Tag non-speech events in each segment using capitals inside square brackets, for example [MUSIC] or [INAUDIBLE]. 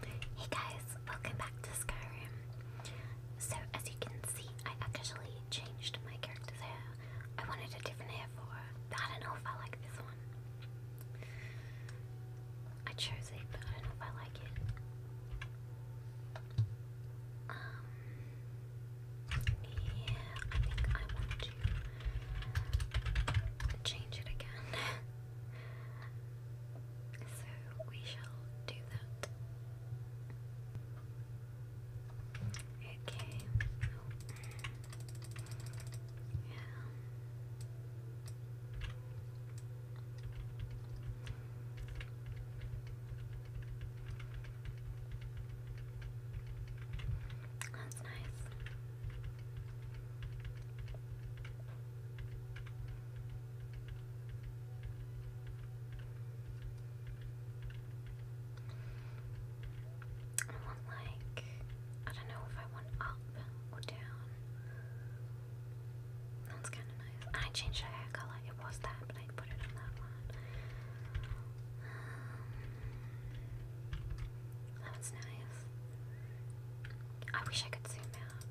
Hey guys, welcome back to Skyrim. So as you can see, I actually changed my character's hair. I wanted a different hair for I don't know if I like this one. I chose it, but I don't know if I like it. Um, yeah, I think I want to change it again. [LAUGHS] So we shall do that. Okay. Yeah. That's nice. I want like I don't know if I want up or down. That's kind of nice. I changed my hair color. It was that, but I put it on that one. Um, nice. I wish I could zoom out.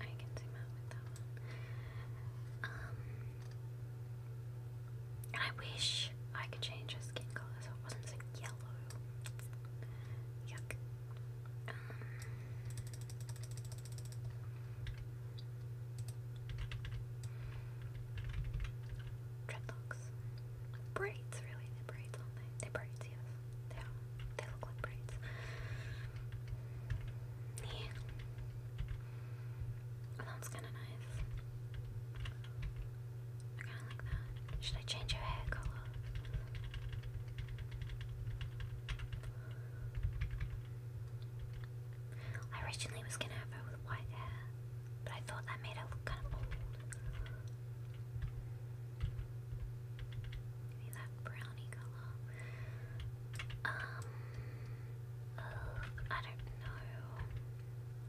I can zoom out with that Um, I wish I could change her skin color so it wasn't yellow. Yuck. Um, dreadlocks. Braids, really? They're braids, aren't they? braids are not they they braids, yes. They, they look like braids. Yeah. kind of nice. I kind of like that. Should I change your hair color? I originally was gonna have her with white hair, but I thought that made it look kind of old. Give that brownie color. Um, uh, I don't know.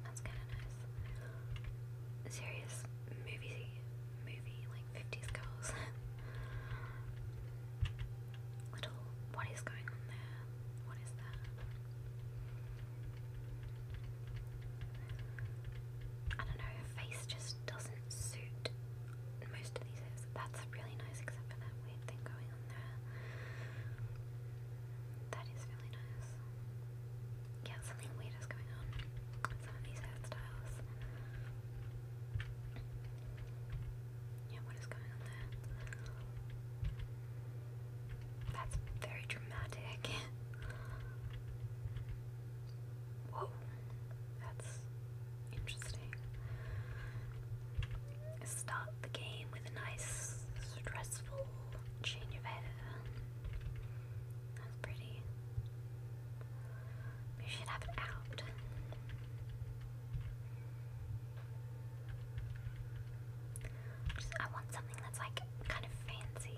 That's kind of nice. Serious movie, movie like fifties girls. [LAUGHS] Little, what is going on there? What is that? I don't know. face face just doesn't suit most of these That's really nice, except for that weird thing going on there. That is really nice. Yeah, something weird is going on some of these hairstyles. Yeah, what is going on there? That's very dramatic. [LAUGHS] Whoa, that's interesting. Start the game with a nice, stressful change of editor. That's pretty. We should have it out. I want something that's like kind of fancy.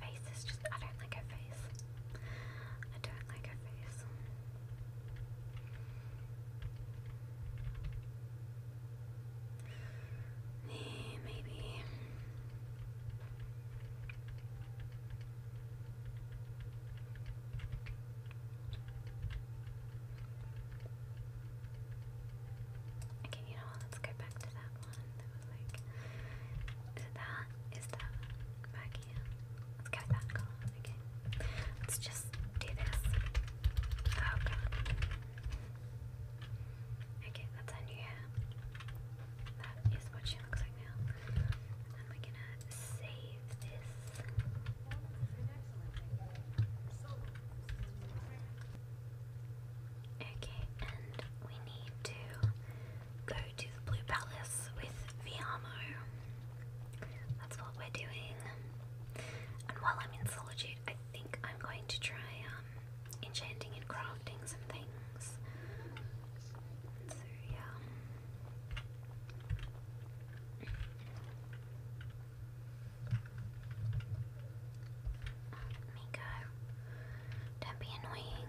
Her face is just, I don't like her face. I don't like her face. Maybe. Okay, you know Let's go back to that one that was like. Is that? Is that Let's go with Let's just do this. Oh Okay, that's our new hair. That is what she looks like now. And we're gonna save this. Okay, and we need to go to the Blue Palace with Viamo. That's what we're doing. And while I'm in solitude, I think I'm going to try um, um, enchanting and crafting some things. So, yeah. Miko, don't be annoying.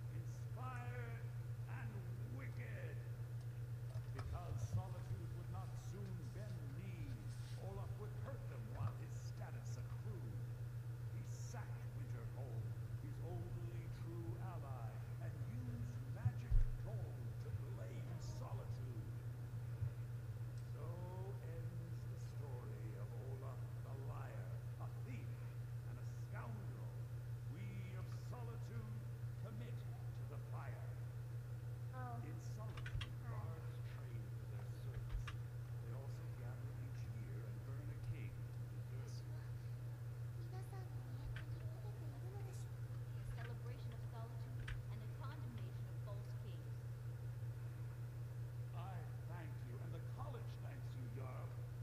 inspired and wicked, because solitude would not soon bend knees. Olaf would hurt them while his status accrued. He sacked Winterhold, his only true ally, and used magic gold to blame solitude. So ends the story of Olaf the Lion a thief, and a scoundrel, we of solitude commit to the fire. Oh. In solitude, bards oh. train for their service. They also gather each year and burn a king who deserves A celebration of solitude and a condemnation of false kings. I thank you, and the college thanks you, Jarl.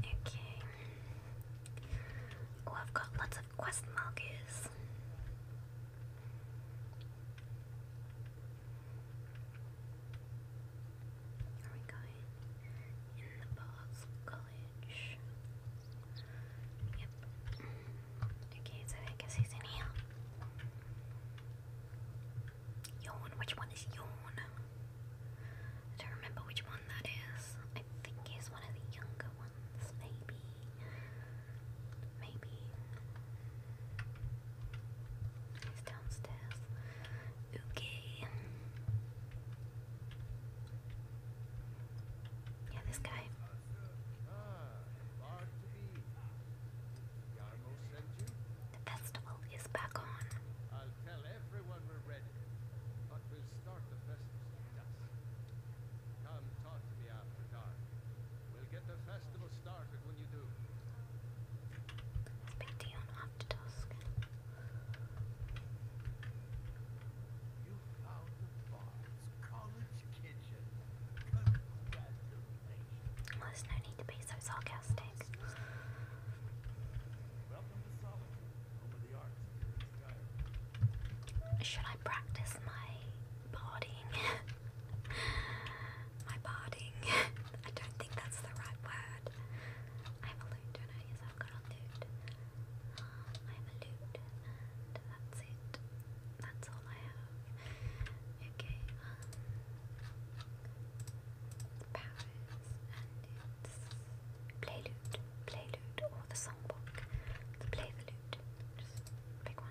Okay. Oh, I've got lots of quest markers. Are we going in the Bard's College? Yep. Okay, so I guess he's in here. Yawn, which one is Yawn? I don't remember which one that is. I think he's one of the younger ones, maybe. Maybe. He's downstairs. Okay. Yeah, this guy. The festival is back on. I'll tell everyone we're ready, but we'll start the festival at Come talk to me after dark. We'll get the festival started when you do. Let's there's no need to be so sarcastic. Should I practice my partying? [LAUGHS] my partying. [LAUGHS] I don't think that's the right word. I have a loot, don't I? Yes, I've got a loot. I have a loot, and that's it. That's all I have. Okay, um, powers and it's play loot, play loot, or the songbook. The play the Just pick one.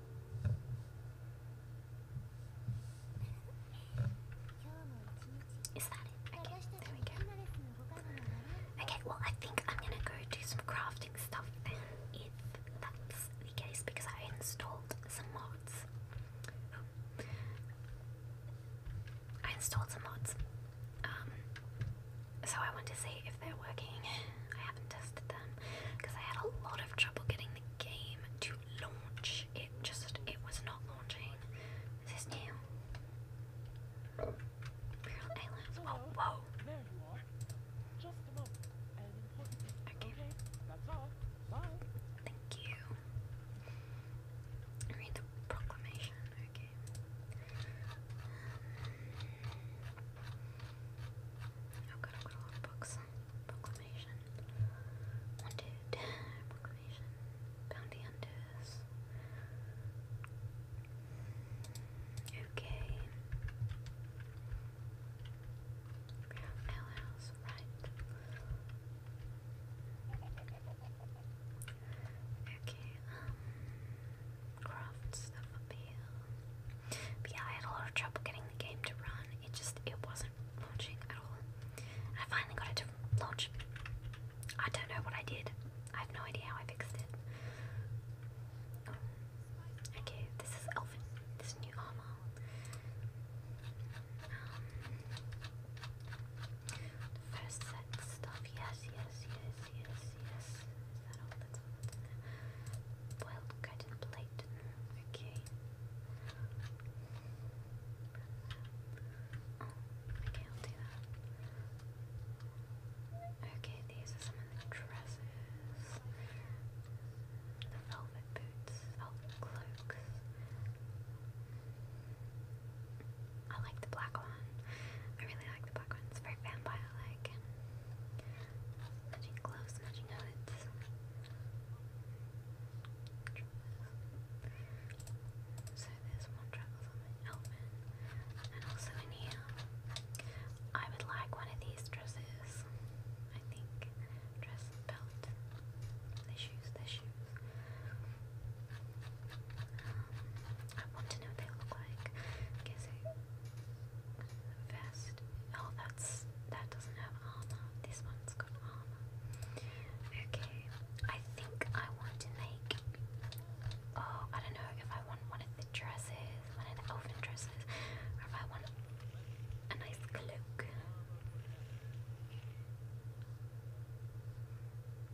Is that it? Okay, there we go. Okay, well, I think I'm gonna go do some crafting stuff then, if that's the case, because I installed some mods. I installed some mods. Um, so I want to see if they're working. I haven't tested them because I had a lot of trouble getting the game to launch. It just it was not launching. Is this new? Imperial aliens. Oh, whoa, whoa. There you are. Just a moment. okay. That's all. Bye. Thank you. Read the proclamation. Okay. Um, i books. Proclamation. Wanted. Proclamation. Bounty Hunters. Okay. Alehouse, right. Okay, um, craft stuff up But I had a lot of trouble getting the game to run. It just it wasn't launching at all. I finally got it to launch. I don't know what I did. I have no idea how I fixed it. Um, okay, this is Elfin. This new armor. Um, first set stuff. Yes, yes, yes, yes, yes. Is that plate. Okay okay, I'll do that. Okay, these are some of the dresses, the velvet boots, velvet cloaks. I like the black one. I really like the black one. It's very vampire-like. Matching gloves, matching hoods. So there's one travels And also in here, I would like one of these dresses. I think. Dress, belt, the shoes, the shoes. Um, I want to know what they look like. guess a vest. Oh, that's that doesn't have armor. This one's got armor. Okay, I think I want to make. Oh, I don't know if I want one of the dresses, one of the elven dresses, or if I want a nice cloak.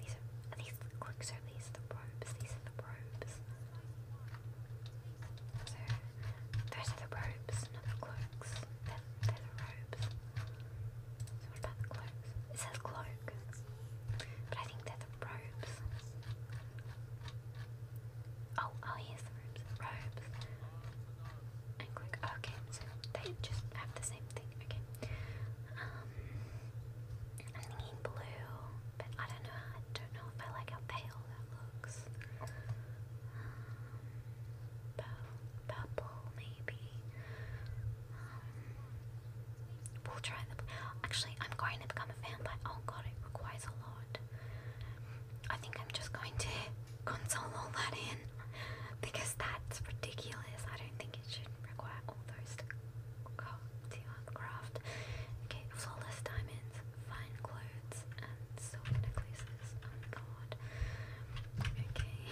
These are, these the cloaks, are these the robes? These are the robes. Those are the robes, not the cloaks. They're, they're the robes. what about the cloaks? It says cloak. But I think they're the robes. Oh, oh here's the robes. Robes. And cloak. Oh, okay, so they just have the same thing. Okay. Um I'm thinking blue, but I don't know I don't know if I like how pale that looks purple maybe. Um, we'll try the. Actually, I'm going to become a vampire. Oh god, it requires a lot. I think I'm just going to [LAUGHS] console all that in because that's ridiculous. I don't think it should require all those to go to craft. Okay, flawless diamonds, fine clothes, uh, and silver necklaces. Oh god. Okay. We need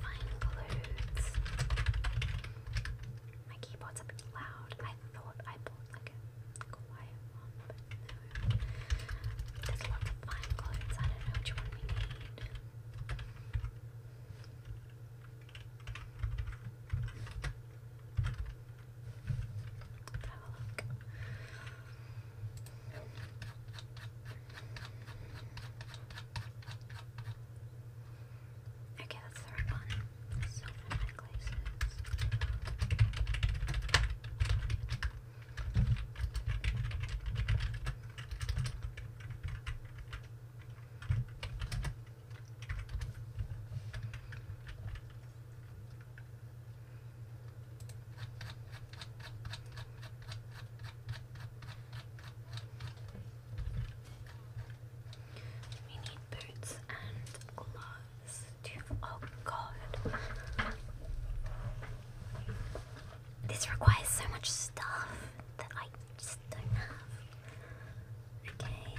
fine clothes. My keyboard's a bit loud. I thought I bought like a quiet one, but There's lots of fine clothes. I don't know which one we need. Okay, that's the right one. So many necklaces. We need boots and gloves too. Oh This requires so much stuff that I just don't have. Okay.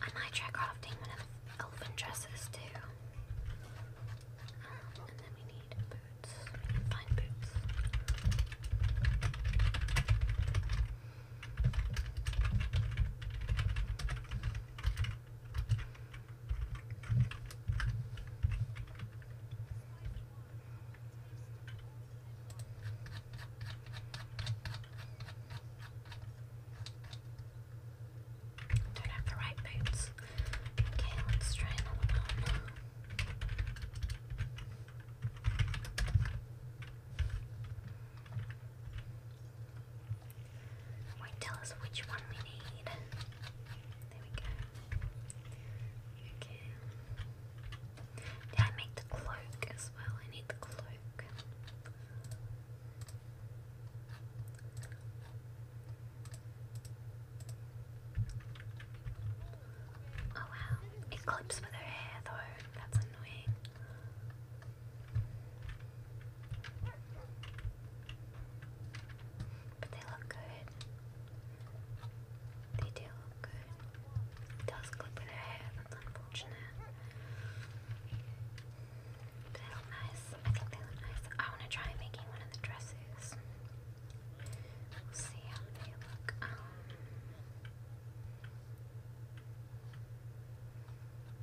I might try crafting one of elephant dresses too. Um, and then we need boots. We need fine boots. Don't have the right boots. Okay, let's try another one. It tell us which one we need. There we go. Did I make the cloak as well? I need the cloak. Oh wow. It clips with her hair though. That's annoying. But they look good. They do look good. does clip with her hair, unfortunate. But they look nice. I think they look nice. I want to try making one of the dresses. We'll see how they look. Um,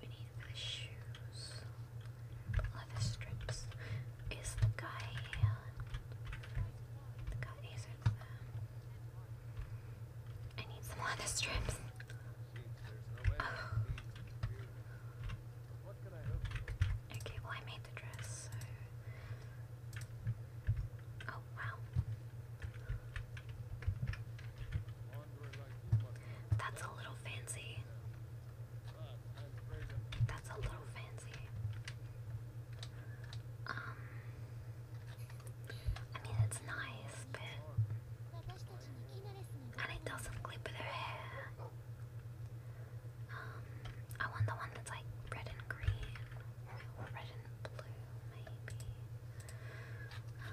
We need the shoes. Leather strips. Is the guy The guy is I need some leather strips. Oh. Okay, well I made the dress, Oh, wow. That's a little fancy. That's a little fancy. Um, I mean, it's nice, but. And it doesn't clip their hair. Um, I want the one that's like red and green. red and blue, maybe. Um,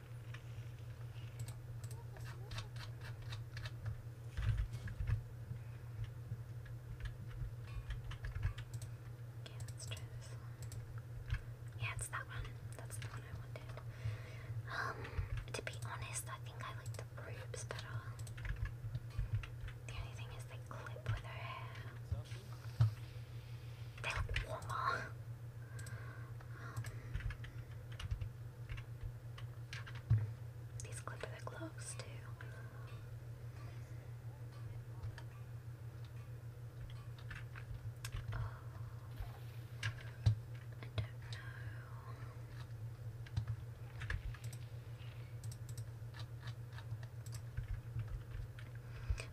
Okay, let one. Yeah, it's that one. That's the one I wanted. Um, to be honest, I think I like the rubes better. The only thing is they clip with her hair that warmer. these clip of the too. Oh, I don't know.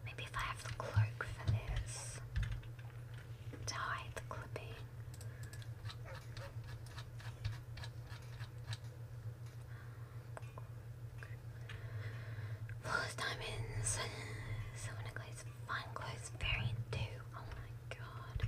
Maybe if I have the cloak for this to hide the clipping. Flawless diamonds. Someone agrees. Fine clothes, variant two. Oh my god.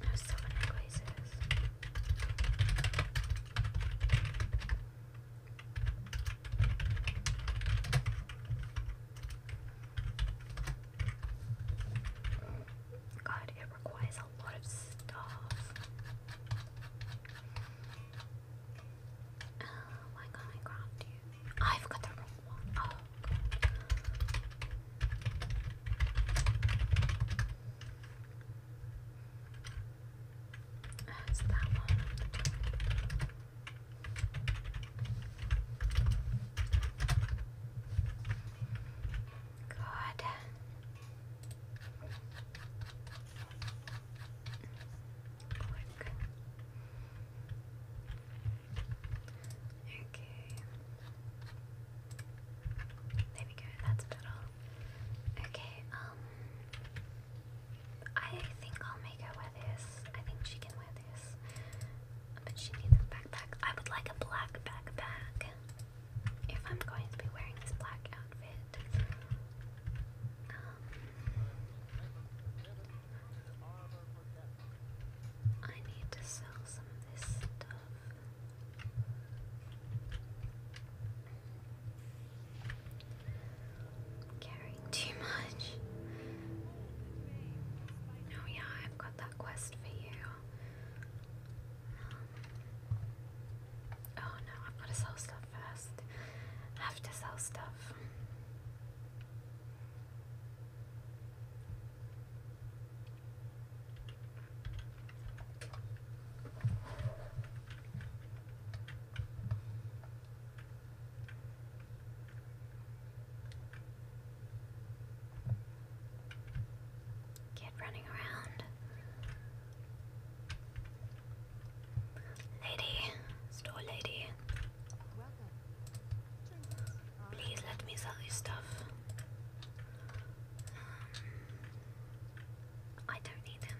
There's so many places. God, it requires a lot of stuff. Uh, why can I grab you? Oh, I forgot the wrong one. Oh, that's that one. Good. Click. Okay. There we go, that's about Okay, um I think I'll make her wear this. I think she can wear this. But she needs a backpack. I would like a black backpack. If I'm going to be wearing this black outfit. Um, I need to sell some of this stuff. Caring too much. Oh yeah, I've got that quest for you. Um, oh no, I've got to sell stuff first. I have to sell stuff. Kid running around. Lady, store lady. Please let me sell you stuff. Um, I don't need them,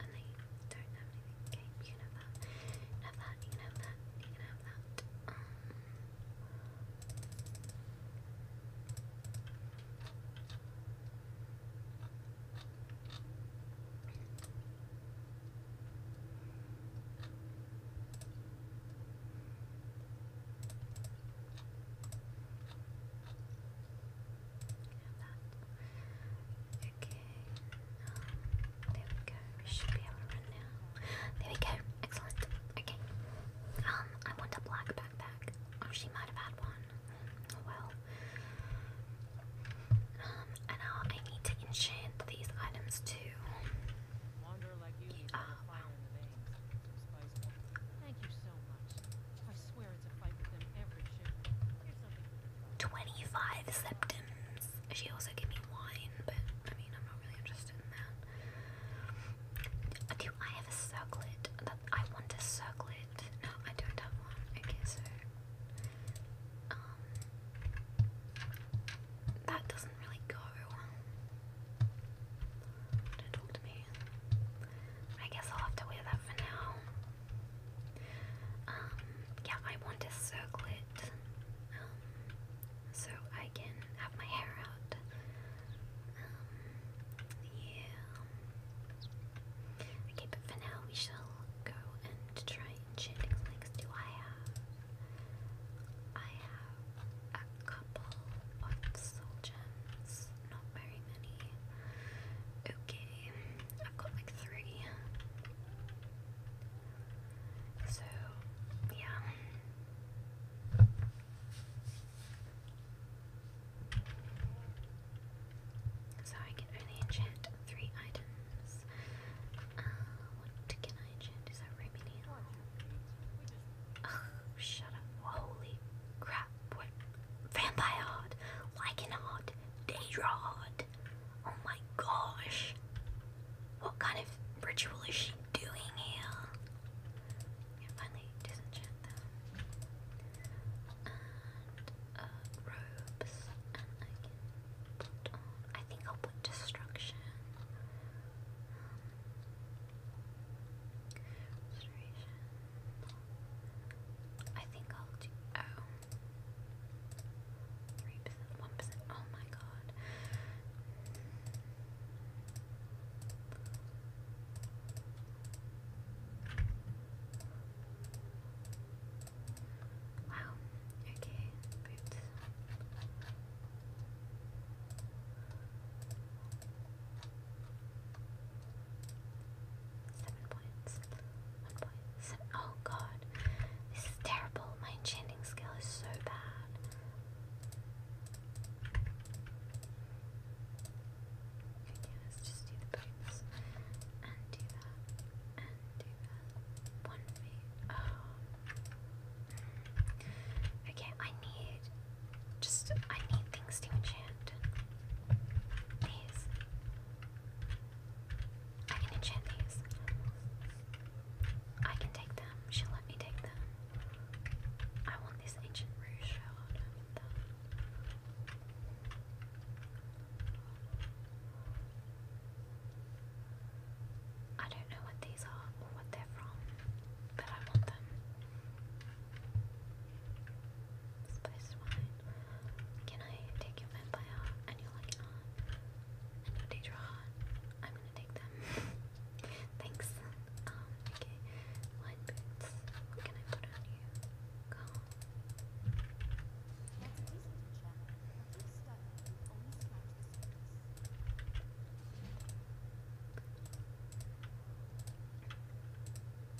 and they don't have anything. Okay, you that. You can that. You can that. Um, there we go. We should be able to run now. There we go. Excellent. Okay. Um, I want a black backpack. Oh, she might have had one. well. Um, and I need to enchant these items too. Wander Thank you I swear it's a fight with them every 25 septums. She also gave me wine, but I mean, I'm not really interested in that. Do I have a circlet? I want a circlet. No, I don't have one. Okay, so. Um, that doesn't really go. Don't talk to me. I guess I'll have to wear that for now. Um, yeah, I want to circle it um, so I can have my hair out. Um, yeah. Okay, but for now we shall go and try enchanting links. Do I have? I have a couple of gems not very many. Okay, I've got like three. So, yeah. So I can only enchant three items. Uh, what Is that Remini? Oh, shut up. Holy crap what? Vampire Hard, Lycanhard, Daedra Hard. Oh my gosh. What kind of ritual is she doing here? Yeah, finally disenchant them. Uh, I think I'll put destruction. Um, I think I'll do. Oh. 1%. Oh my god. Wow. Okay. Boots. Seven points. One point. Seven. Oh god. This is terrible. My enchanting skill is so bad. Okay, let's just do the boots. And do that. And do that. One feet. Oh. Okay, I need just, I need things to enchant. These. I can enchant these. I can take them. she let me take them. I want this ancient rouge I don't know what these are or what they're from, but I want them. Spice wine. Can I take your vampire? I know I cannot. I know they draw. I'm gonna take them. [LAUGHS] Thanks. Um, okay. What can I put on you? Go.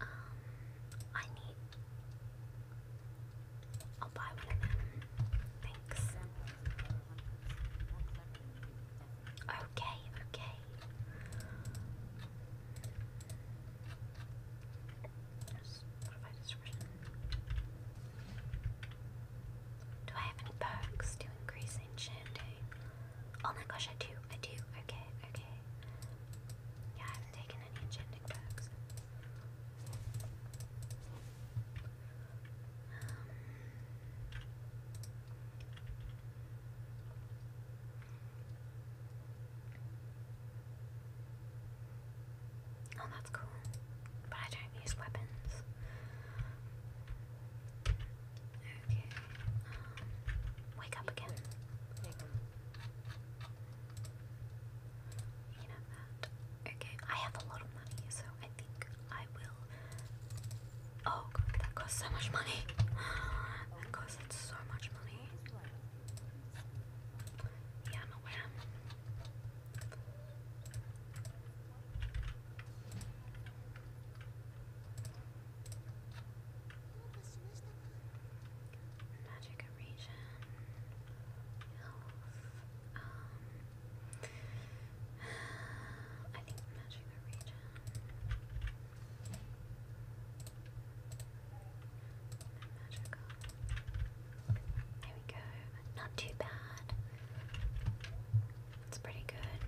Um, I need. I'll buy one of them. Thanks. Okay, okay. Do I have any perks to increase enchanting? Oh my gosh, I do, I do. Okay, okay. Yeah, I haven't taken any enchanting perks. Um, oh, that's cool. But I don't use weapons. Okay. Um, wake up again. You can have that. Okay, I have a lot of money, so I think I will. Oh, God, that costs so much money. that costs so much money. Yeah, I'm aware. Magic region, um, [SIGHS] I think magic region. There we go. Not too bad. It's pretty good.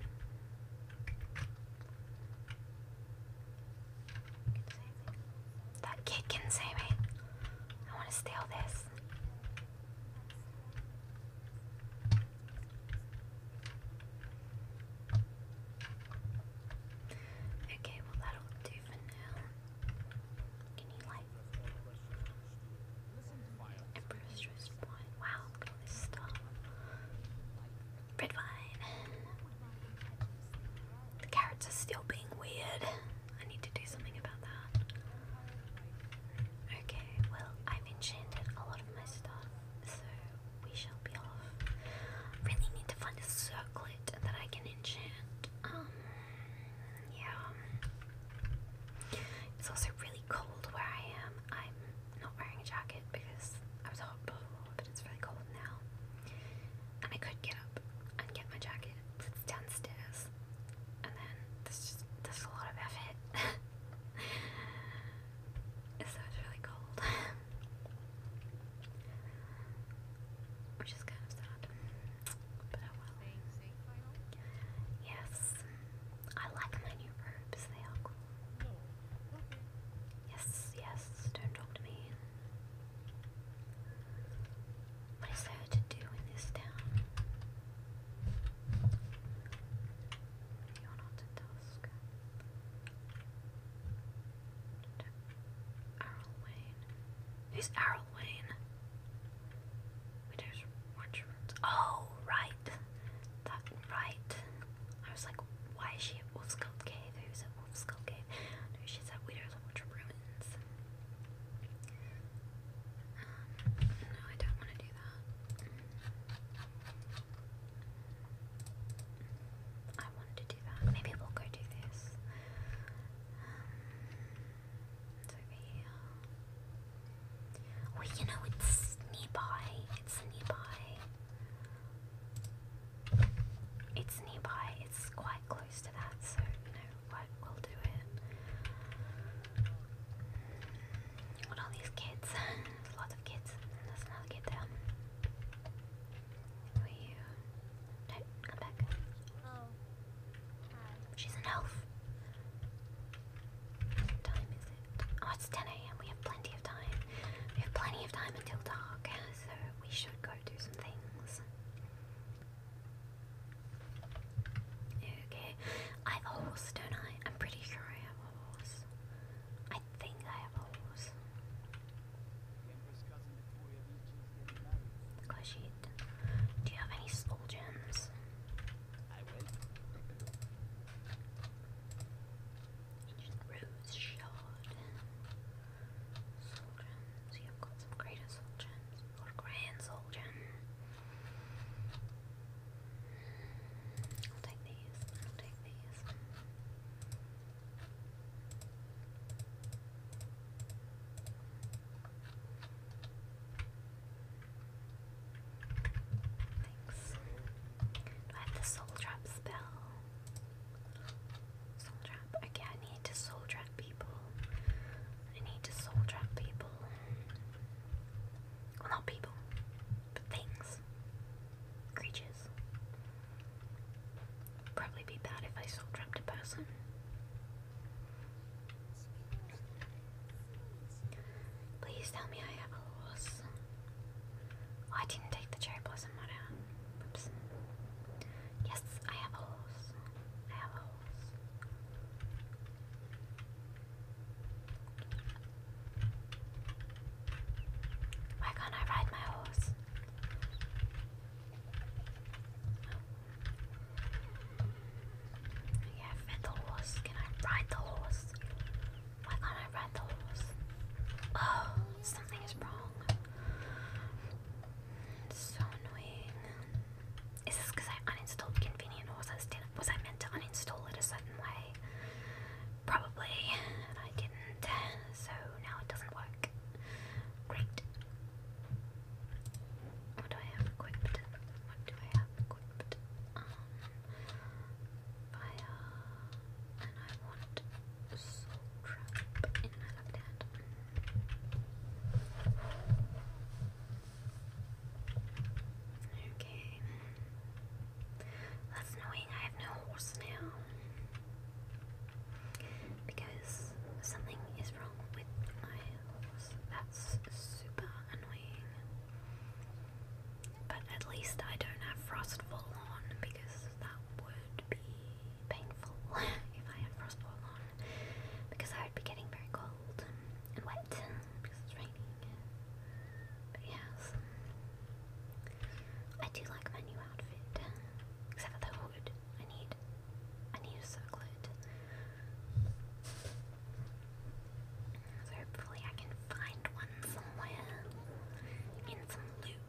That kid can save me. I want to steal this. Okay, well that'll do for now. Can you like improve stress point? Wow, look at this stuff. Red wine. The carrots are still being weird. I need to do something about that. Okay, well, I've enchanted a lot of my stuff, so we shall be off. Really need to find a circlet that I can enchant. Um, yeah. It's also really cold where I am. I'm not wearing a jacket because I was hot but it's really cold now. And I could get up and get my jacket. It's downstairs, and then there's just there's a lot of effort. [LAUGHS] so it's really cold, [LAUGHS] which is kind of sad. But I will. Yes, I like my new robes. They are cool. Yes, yes, don't talk to me. What is there to do in this town? You're not a Wayne. Who's Errol Wayne? Widow's Watch Oh, right. That, right. I was like, why is she at Wolf Skull Cave? Who's at Wolf Skull Cave? she's at Weeders Ultra Ruins. Um, no, I don't want to do that. I wanted to do that. Maybe we'll go do this. Um, it's over here. Oh, you know, it's nearby. It's nearby. It's nearby, it's quite close to that, so you we'll do it. What are these kids? [LAUGHS] lots of kids, and another kid there. are you? No, come back. Oh. Hi. She's an elf. time is it? Oh, it's 10 a.m. We have plenty of time. We have plenty of time until dark, so we should go do some things. Okay, I have a horse, don't I? I'm pretty sure I have a horse. I think I have a horse. Gosh, do you have any soul gems? Rose Shard. Soul gems. I've got some greater soul gems. grand soul I'll take these. I'll take these. Thanks. I have the soul trap spell? Soul trap. Okay, I need to soul trap people. I need to soul trap people. Well, not people, but things. Creatures. Probably be bad if I soul trapped a person. Please tell me I have a horse. I didn't take the cherry blossom one out. Oops. Yes, I have a horse. I have a horse. Why can't I ride my horse? Oh. Yeah, fed the horse. Can I ride the horse? Why can I read those? Oh, something is wrong. It's so annoying. Is this because I uninstalled Convenient or was I, meant to uninstall it a certain way? Probably, I didn't, so now it doesn't work. Great. What do I have equipped? What do I have equipped? Um, fire and I want soul trap and I like that. Okay. That's annoying, I have no horse now. Because something is wrong with my horse. That's super annoying. But at least I don't have Frostfall on because that would be painful [LAUGHS] if I had Frostfall on because I would be getting very cold and wet because it's raining. But yes, I do like my new outfit except for the hood. I need, I need a circlet. So hopefully I can find one somewhere in some loot.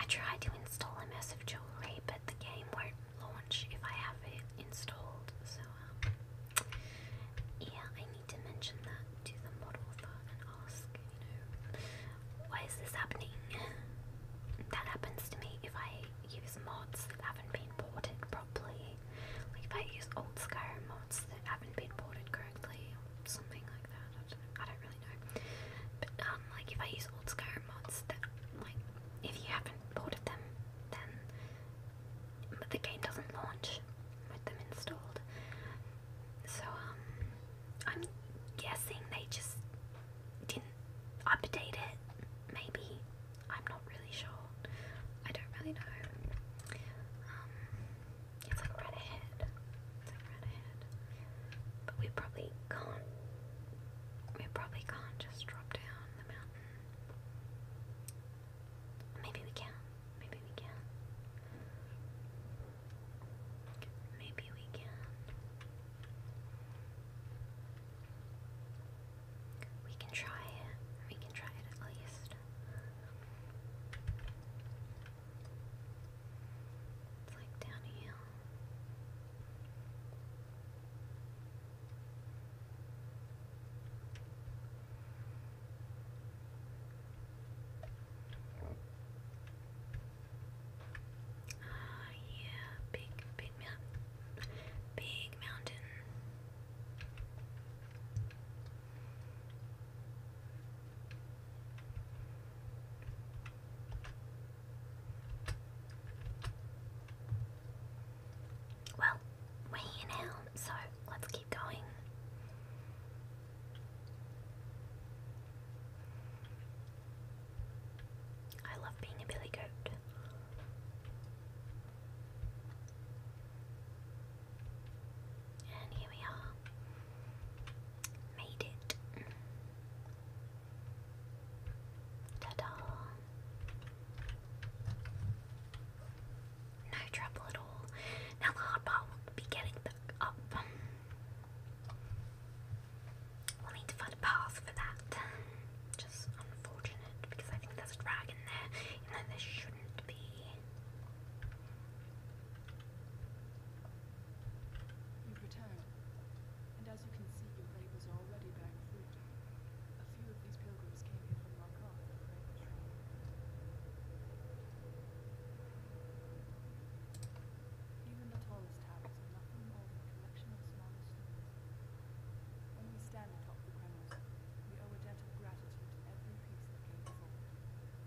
I tried to install a Immersive Jewelry, but the game won't launch if I have it installed. So, um, yeah, I need to mention that to the mod author and ask, you know, why is this happening? That happens to me if I use mods that haven't been ported properly. Like if I use old Skyrim mods that haven't been ported correctly or something like that. I don't, really know. But um, like if I use old Skyrim mods that like if you haven't ported them, then but the game doesn't launch with them installed. So um, I'm guessing they just didn't update it. Maybe I'm not really sure. I don't really know. Um, it's like right ahead. It's like right ahead. But we probably can't. We probably can't just drop down the mountain. Maybe we can. Maybe we can. Maybe we can. We can try it. We can try it at least. It's like down a hill. Ah, yeah, big, big mountain, big mountain. Well, we're here now, so let's keep going. I love being a billy goat. And here we are. Made it. Ta-da! No trouble at all. Now the hard part will be getting back up. We'll need to find a path for that. Just unfortunate because I think there's a drag there, even though there shouldn't be. You've and as you can see, your labors are already bearing fruit. A few of these pilgrims came here from Markarth Even the tallest towers are nothing more than a collection of smaller stones. When we stand atop the Kremls, we owe a debt of gratitude to every piece that came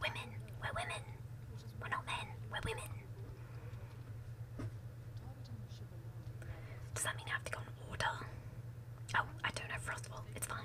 Women, we're women. We're not men, we're women. Does that mean I have to go in order? Oh, I don't have Frostwall, it's fine.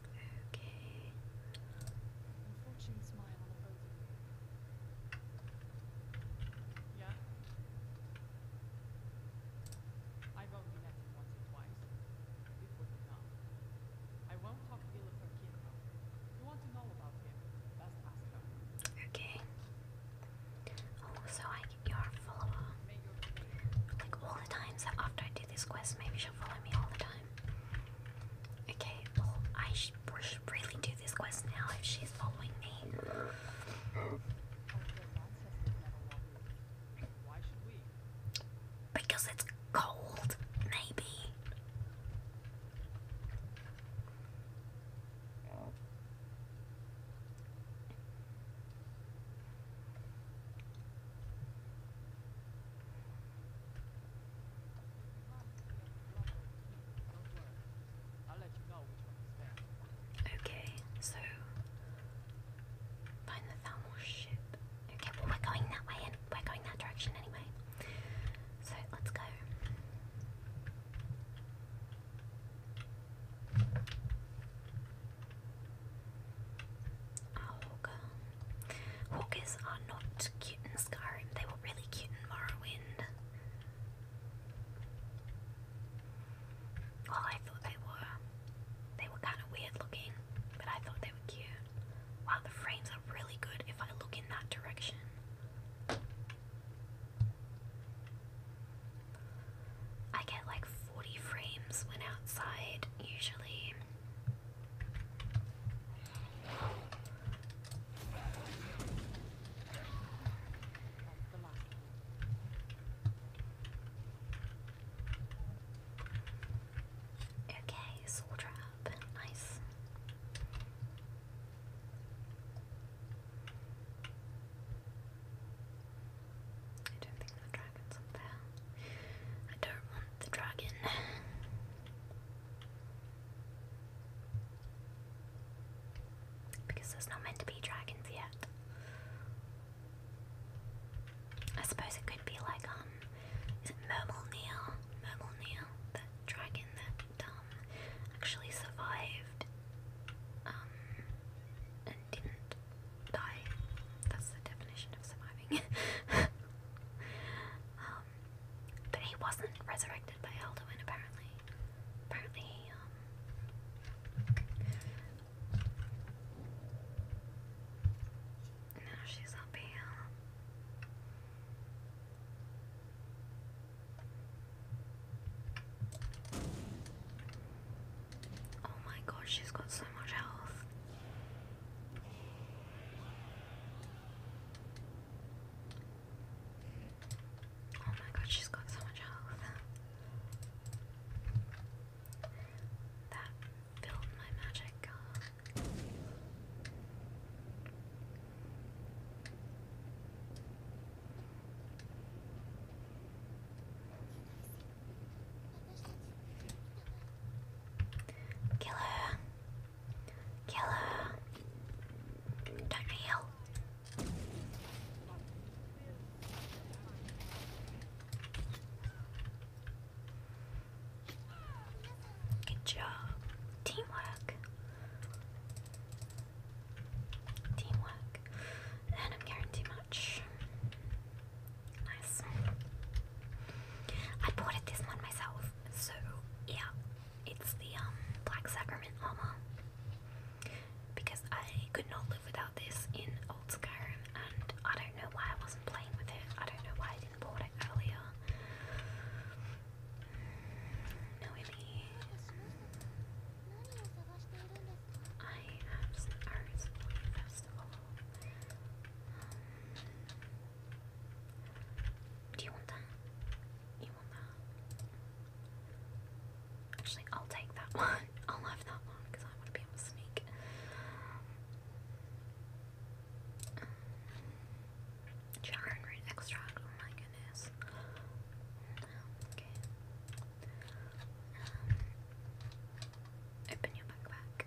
Okay. Yeah. I've only met once or twice. It was enough. I won't talk ill of her kid now. You want to know about him? Just ask Okay. Oh, so I get your follower. Like all the times so after I do this quest, maybe she'll follow me all the time. Okay, well, I we should really do this quest now if she's following me. Because it's cold, maybe. Okay, so find the Thalmor ship. Okay, well we're going that way and we're going that direction anyway. So let's go. Auga. Oh, Hawkers are not cute in Skyrim, they were really cute in Morrowind. Well, I thought they were. They were kind of weird looking, but I thought they were cute. Wow, the frames are really good if I look in that direction. I get like 40 frames when outside, usually. Okay, soul trap, nice. I don't think the dragon's there. I don't want the dragon. Because there's not meant to be dragons yet. I suppose it could be like, um, is it Mermelneil? Neil, that dragon that, um, actually survived, um, and didn't die. That's the definition of surviving. [LAUGHS] Um, but he wasn't resurrected by Alduin apparently. Apparently um, Now she's up here. Oh my god, she's got so much health. Oh my god, she's got so much health. That filled my magic Kill her. Kill Don't heal. Good job. Teamwork. Teamwork. And I'm carrying too much. Nice. I bought it this one myself, so yeah, it's the um black sacrament armor because I could not live without this in old Skyrim, and I don't know why I wasn't playing with it. I don't know why I didn't bought it earlier. Noemi, I have some arrows for you first do you want that? You want that? Actually, I'll take that [LAUGHS] one. I'll have that one because I want to be able to sneak. Um, Charon root Oh my goodness. Um, open your backpack.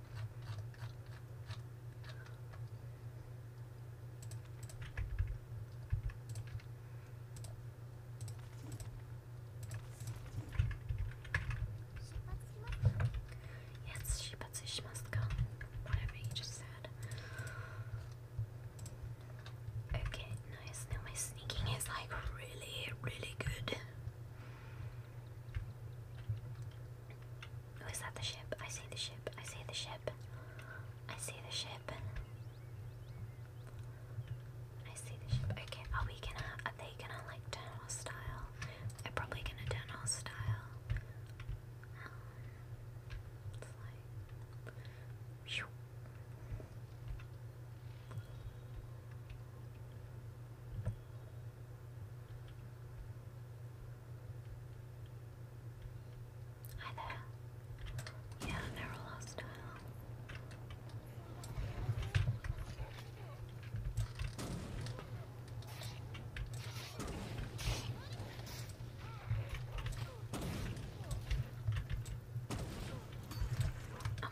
Yes, Shibetsu Shimaska. Whatever you just said. Okay, nice. Now my sneaking is like really, really good. Oh, is that the ship? I see the ship. I see the ship. I see the ship. I see the ship. Okay, are we gonna, are they gonna like turn hostile? They're probably gonna turn hostile. Um, it's like, Phew. Hi there. Yeah, they're all hostile. Oh my god.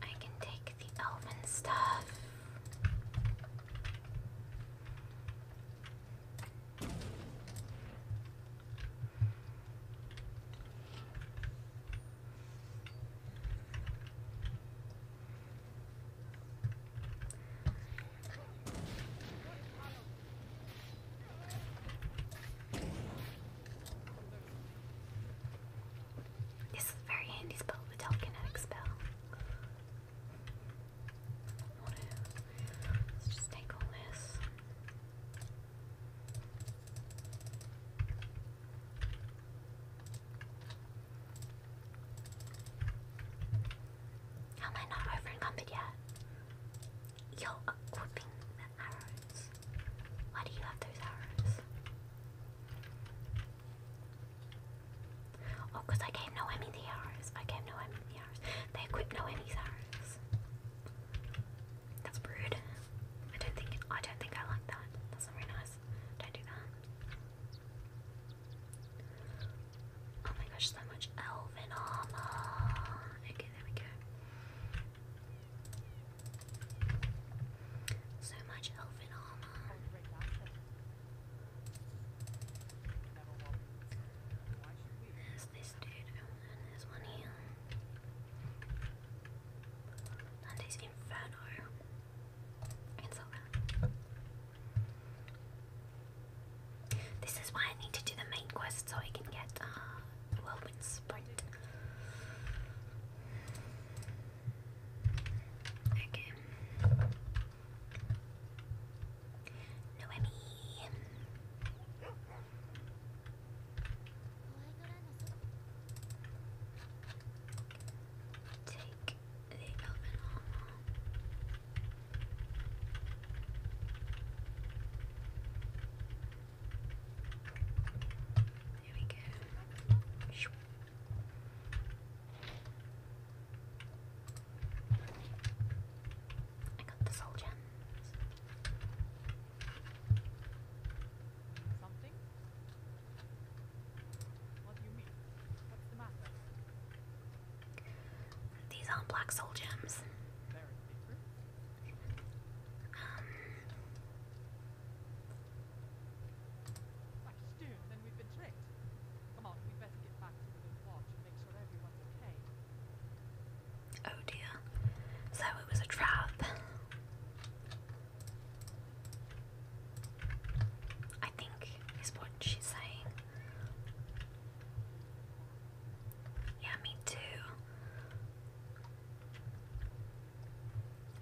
I can take the elven stuff. This is very handy spell, the telekinetic spell. Let's just take all this am I not over encumbered yet? Yo, equipping the arrows. Why do you have those arrows? Oh, because I gave Noemi the arrows. I gave Noemi the arrows. They equipped Noemi's arrows. That's rude. I don't think I don't think I like that. That's not very nice. Don't do that. Oh my gosh, so much elven armor. Okay, there we go. So much elven armor this dude oh, and this one here. And this inferno. It's alright. This is why I need to do the main quest so I can get uh whirlwind sprint. Okay. Noemi. Take the elephant armor. There we go. I got the soul gems. These are black soul gems. Very different. Um. then we've been tricked. Come on, we better get back to the lodge and make sure everyone's okay. Oh dear. So it was a trap. I think is what she's saying. Yeah, me too.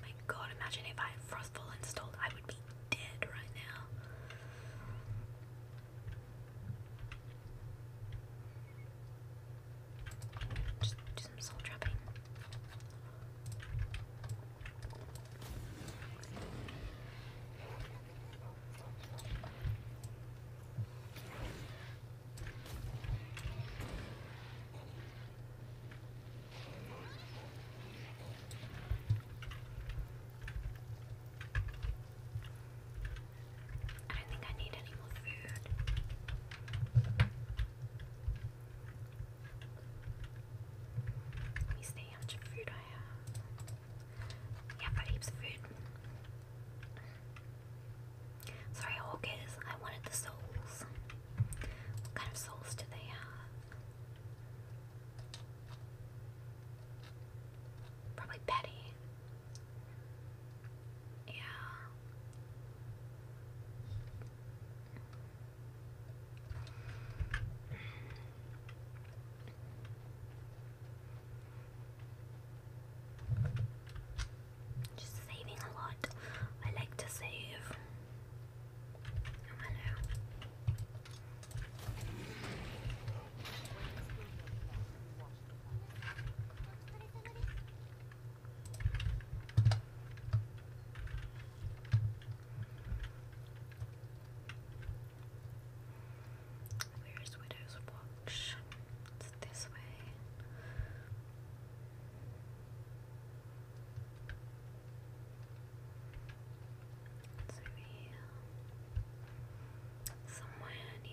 My god, imagine if I had installed, I would be dead right now. Just do some soul trapping. I don't think I need any more food. Let me see how much food I have. Yeah, i heaps of food. Sorry, Hawkers, I wanted the souls. What kind of souls do they have? Probably Betty. Yeah. Just saving a lot. I like to save. hello. Where's Widow's Watch? It's this way. It's here. Somewhere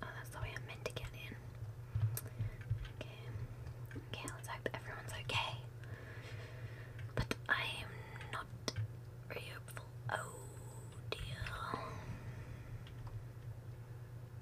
Oh, that's the way I'm meant to get in. Okay. Okay, let's hope everyone's okay. But I am not very hopeful. Oh dear.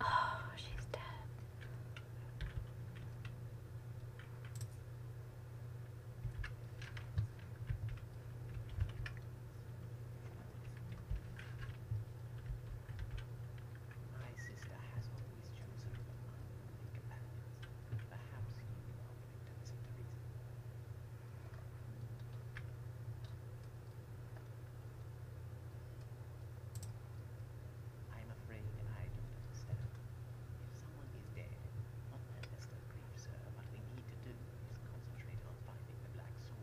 Oh, she's dead. My sister has always chosen for unworthy companions. Perhaps I am afraid I don't understand. If someone is dead, one man less grief, sir, what we need to do is concentrate on finding the black soul.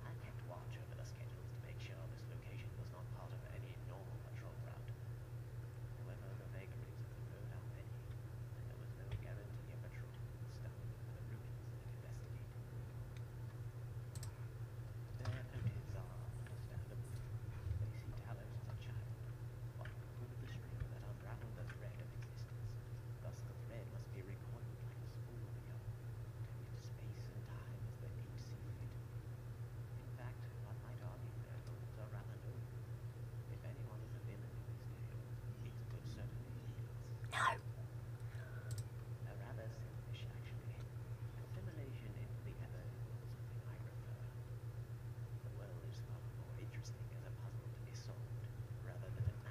I kept watch over the schedules to make sure this location was not part of any normal patrol route. However, the vagaries of the road are many, and there was no guarantee a patrol would stop for the Rubens that investigate. Their motives are understandable. They see talent as a child, one proof of the stream that unraveled the thread of existence. Thus the thread must be recoiled unreal. It's space and time as they deep see fit. In fact, one might argue their rules are rather new. If anyone is a villain in this tale, it could certainly be No! A rather selfish, actually. Assimilation into the other is something I prefer. The world is far more interesting as a puzzle to be solved rather than an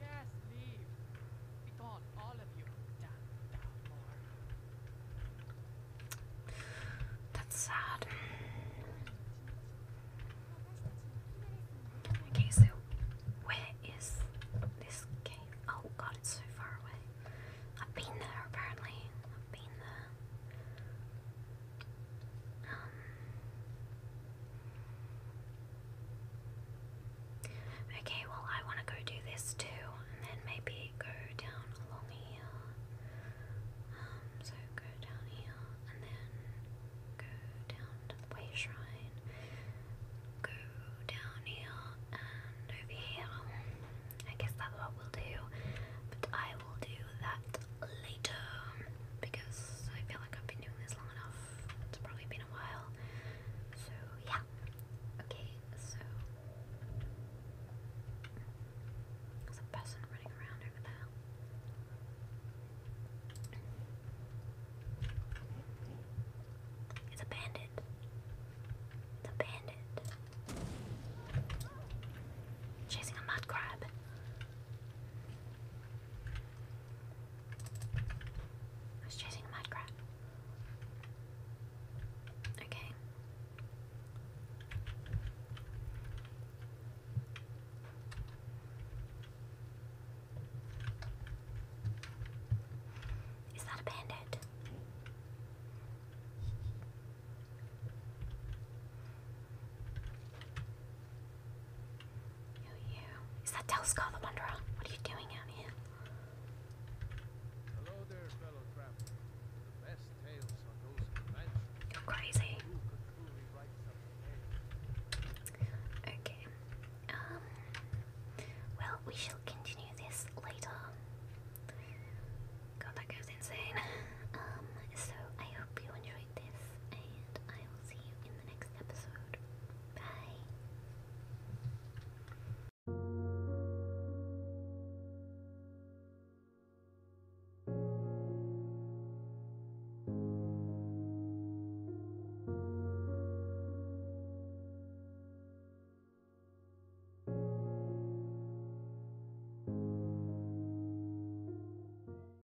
Yes, leave. Be gone, all of you. Down, down more. That's sad. Okay, so where is this cave? Oh god, it's so far away. I've been there apparently. I've been there. Um, Okay, well, I want to go do this too, and then maybe go down along here. Um, so go down here, and then go down to the way shrine, go down here, and over here. I guess that's what we'll do, but I will do that later because I feel like I've been doing this long enough. It's probably been a while. So, yeah. Okay, so. There's a person running around over there. It's a bandit. It's a bandit. Chasing a mud crab. I was chasing a Minecraft. Okay. Is that a bandit? Is that Telskar the Wanderer? What are you doing out here? You're crazy. Okay. Um, well, we shall continue this later. God, that goes insane. [LAUGHS] Um, so I hope you enjoyed this, and I will see you in the next episode. Bye.